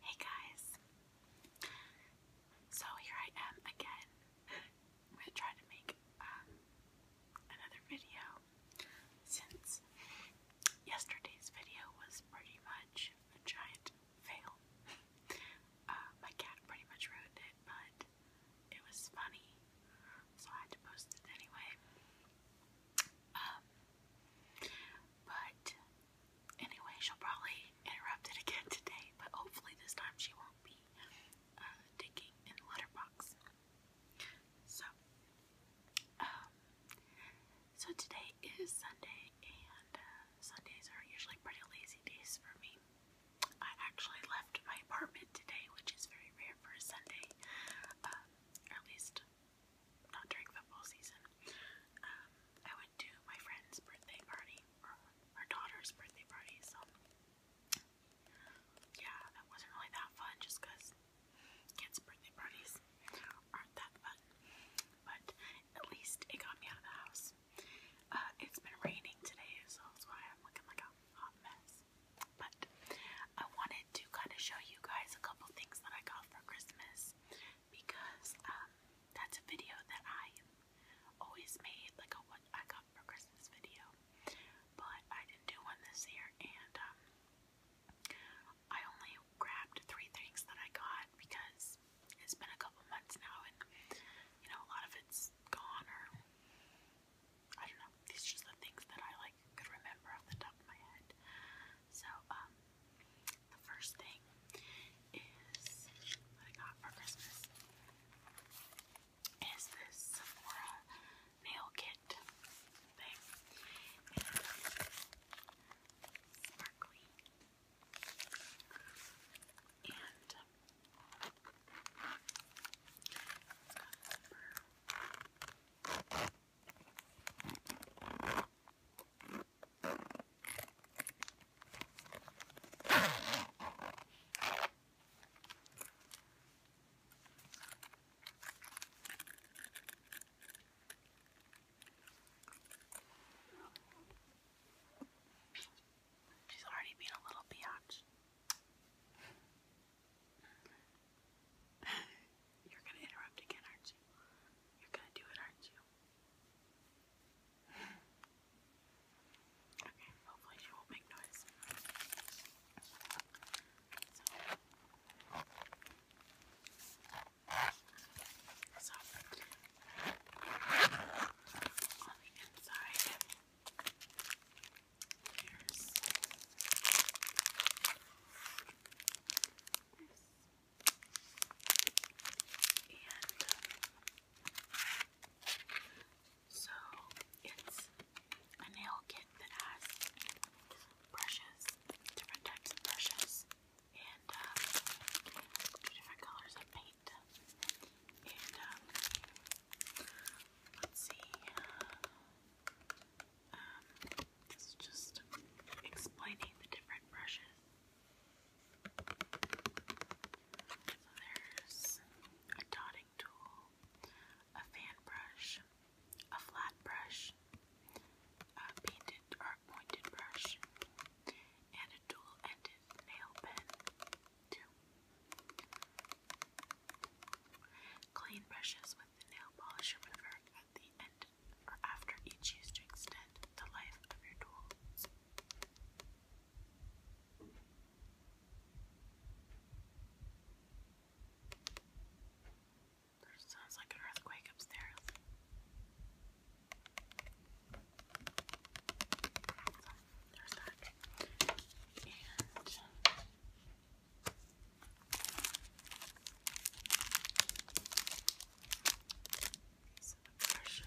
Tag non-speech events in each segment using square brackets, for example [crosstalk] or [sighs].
Hey guys! So here I am again. I'm to make um, another video since yesterday's video was pretty much a giant fail. Uh, my cat pretty much ruined it, but it was funny, so I had to post it anyway. Um, but anyway, she'll probably interrupt it again today, but hopefully this time she won't be uh, digging in the letterbox. So, um, so today is Sunday, and uh, Sundays are usually pretty lazy days for me. I actually left my apartment today, which is very rare for a Sunday, um, at least not during football season, um, I went to my friend's birthday party, or our daughter's birthday party, so yeah, that wasn't really that fun just because kids' birthday parties aren't that fun, but at least it got me out of the house. Uh, it's been raining today, so that's why I'm looking like a hot mess. But I wanted to kind of show you guys a couple things that I got for Christmas because um, that's a video that I always made, like a what I got for Christmas video. But I didn't do one this year, and um, I only grabbed three things that I got because it's been a couple months now, and you know, a lot of it's gone, or I don't know. These just the things that I like. I could remember off the top of my head. So, um, the first thing is what I got for Christmas is this nail kit thing. sparkly. And uh, She's already been a little biatch. You're gonna interrupt again, aren't you? You're gonna do it, aren't you? Okay, hopefully she won't make noise. so on the inside, Here's this. so it's a nail kit that has brushes, different types of brushes, and um, different colors of paint. let's see. Uh, um, this is just explaining the different brushes. So there's a dotting tool, a fan brush, a flat brush, a painted or pointed brush, and a dual ended nail pen, Clean brushes with the nail polish remover at the end or after each use to extend the life of your tools. There sounds like an earthquake upstairs. there's that. These are the brushes.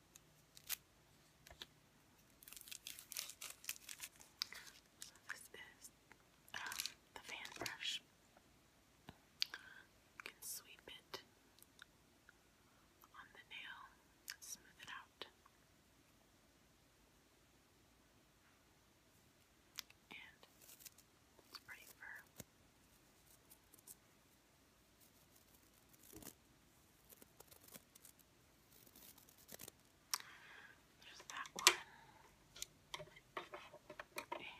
so this is um, the fan brush. You can sweep it on the nail, smooth it out. And it's pretty firm. There's that one. And next,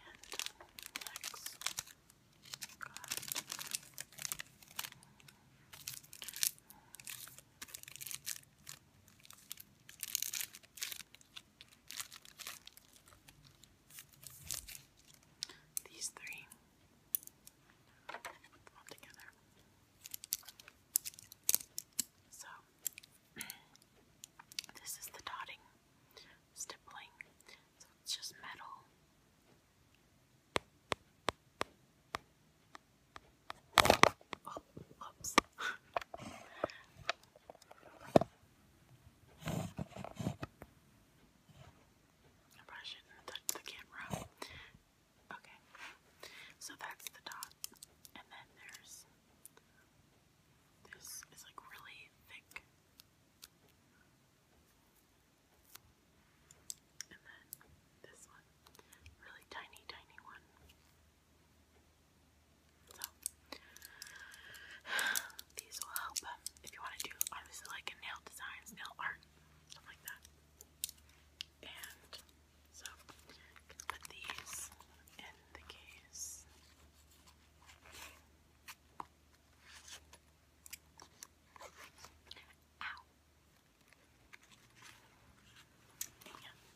these three. So, [clears throat] this is the dotting, stippling, so it's just metal. Oh, oops. [laughs] I shouldn't have touched the camera. Okay, so that's the dot, and then there's this is like really thick, and then this one, really tiny, tiny one. So [sighs] these will help if you want to do obviously like a nail designs, nail art stuff like that. And so can put these in the case. Ow. And,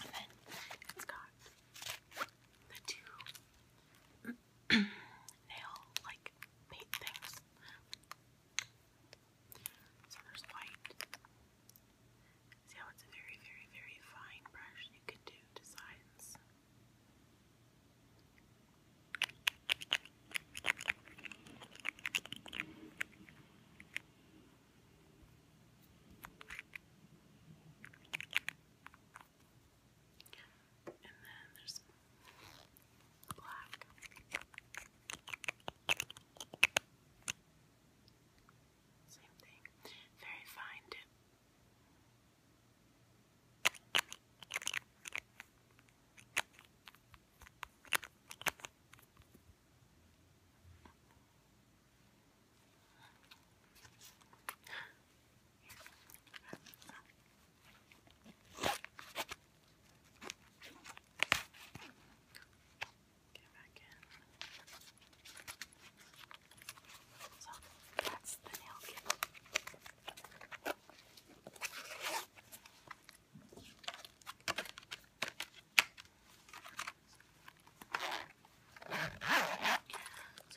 and then it's got the two nail [clears throat] like paint things. So there's white. See how it's a very, very, very fine brush. You can do designs. And then there's black. Same thing. Very fine dip. Get back So that's the nail kit. So I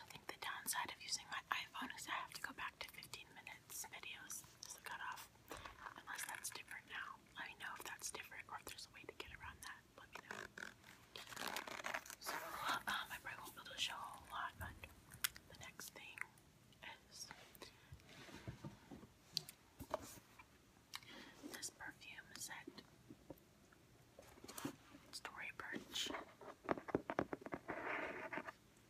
think the downside of using my iPhone is I have to go back to 15 minutes videos is the cutoff. Unless that's different now. Let me know if that's different or if there's a way to get around that. Let me know. So, um, I probably won't be able show a lot, but the next thing is this perfume set. Story Birch.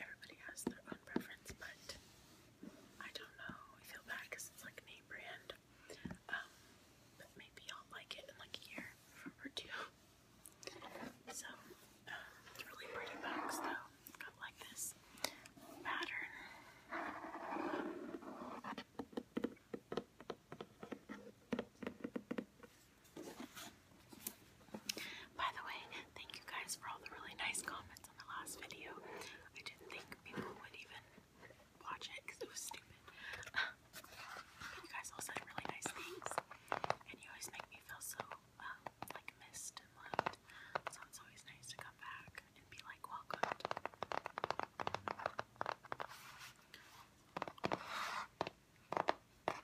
everybody has their own preference, but I don't know. I feel bad because it's like name brand. Um, but maybe I'll like it in like a year or two. So, um, it's really pretty box though. it like this pattern. By the way, thank you guys for all the really nice comments on the last video. I didn't think people would even watch it because it was stupid. [laughs] you guys all said really nice things, and you always make me feel so um, like missed and loved. So it's always nice to come back and be like welcomed.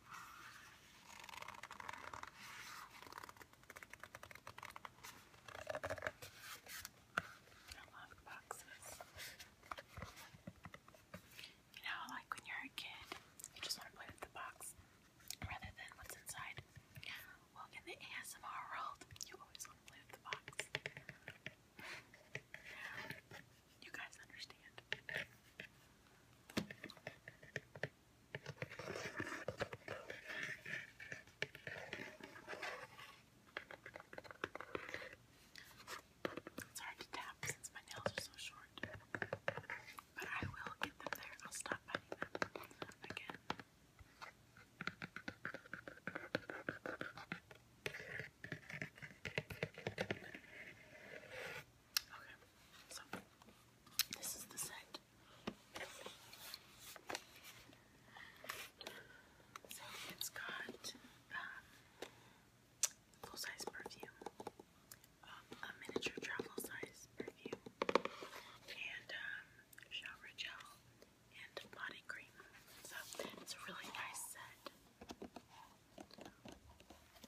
I love boxes. You know, like when you're a kid, you just want to play with the box rather than what's inside. Well, in the ASMR world, you always want to play with the box. You guys understand. It's hard to tap since my nails are so short. But I will get them there. I'll stop biting them again. Okay, so this is the set. So it's got um, full size perfume, um, a miniature travel size perfume, and um, shower gel and body cream. So it's a really nice set.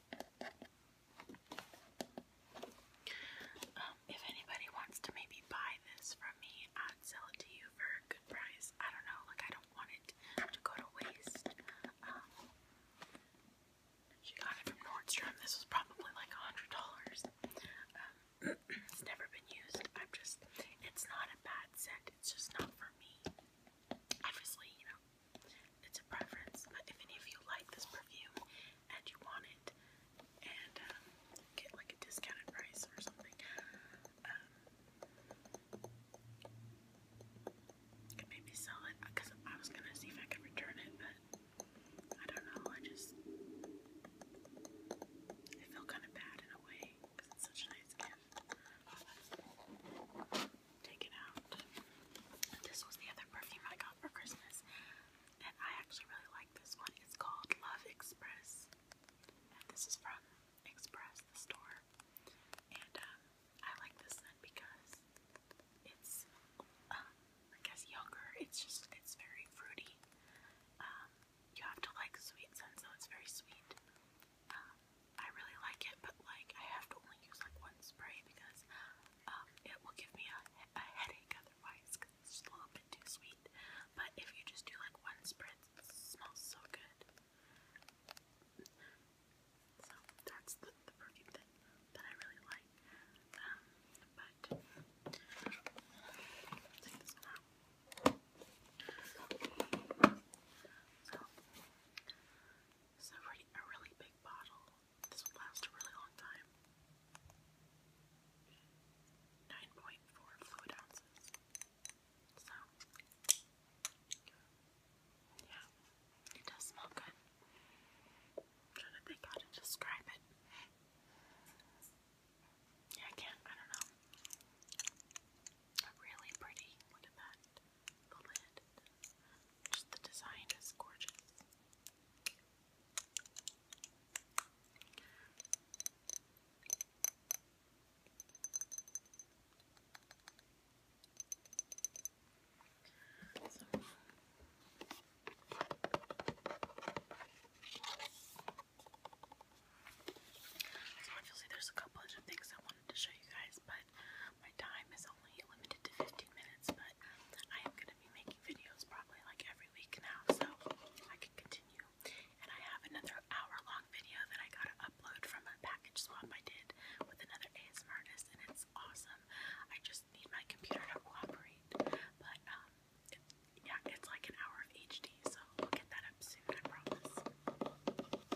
Um, if anybody wants to maybe buy this from me, I'd sell it to you for a good price. I don't know, like I don't want it to go to waste. Um, she got it from Nordstrom. This was probably like a hundred dollars. Um, [clears throat] it's never been used. I'm just, it's not a bad scent. It's just not for me. Obviously, you know, it's a preference. But uh, if any of you like this perfume and you want it and um, get like a discounted price or something, maybe um, sell it because uh, I was gonna see if I could return it, but I don't know. I just I feel kind of bad in a way because it's such nice gift take out. This was the other perfume I got for Christmas, and I actually really like this one. It's called Love Express, and this is from Express, the store. And um, I like this one because it's, um, I guess, younger. It's just, it's very fruity. Um, you have to like sweet scents, so it's very sweet. Um, I really like it, but like I have to only use like one spray because um, it will give me a, headache otherwise because it's just a little bit too sweet. But if you just do like one spritz, smells so good. So that's the, the perfume that, that I really like. Um, but it's a a really big bottle. This will last a really long time. 9.4 fluid ounces. So, yeah, it does smell good. i to think how to describe it. Yeah, I can't, I don't know. Really pretty. Look that the Just the design is gorgeous. So. obviously there's a couple of things I wanted to show you guys, but my time is only limited to 15 minutes, but I am going to be making videos probably like every week now, so I can continue. And I have another hour long video that I got to upload from a package swap I did with another ASMR artist, and it's awesome. I just need my computer to cooperate, but um, yeah, it's like an hour of HD, so we'll get that up soon, I promise.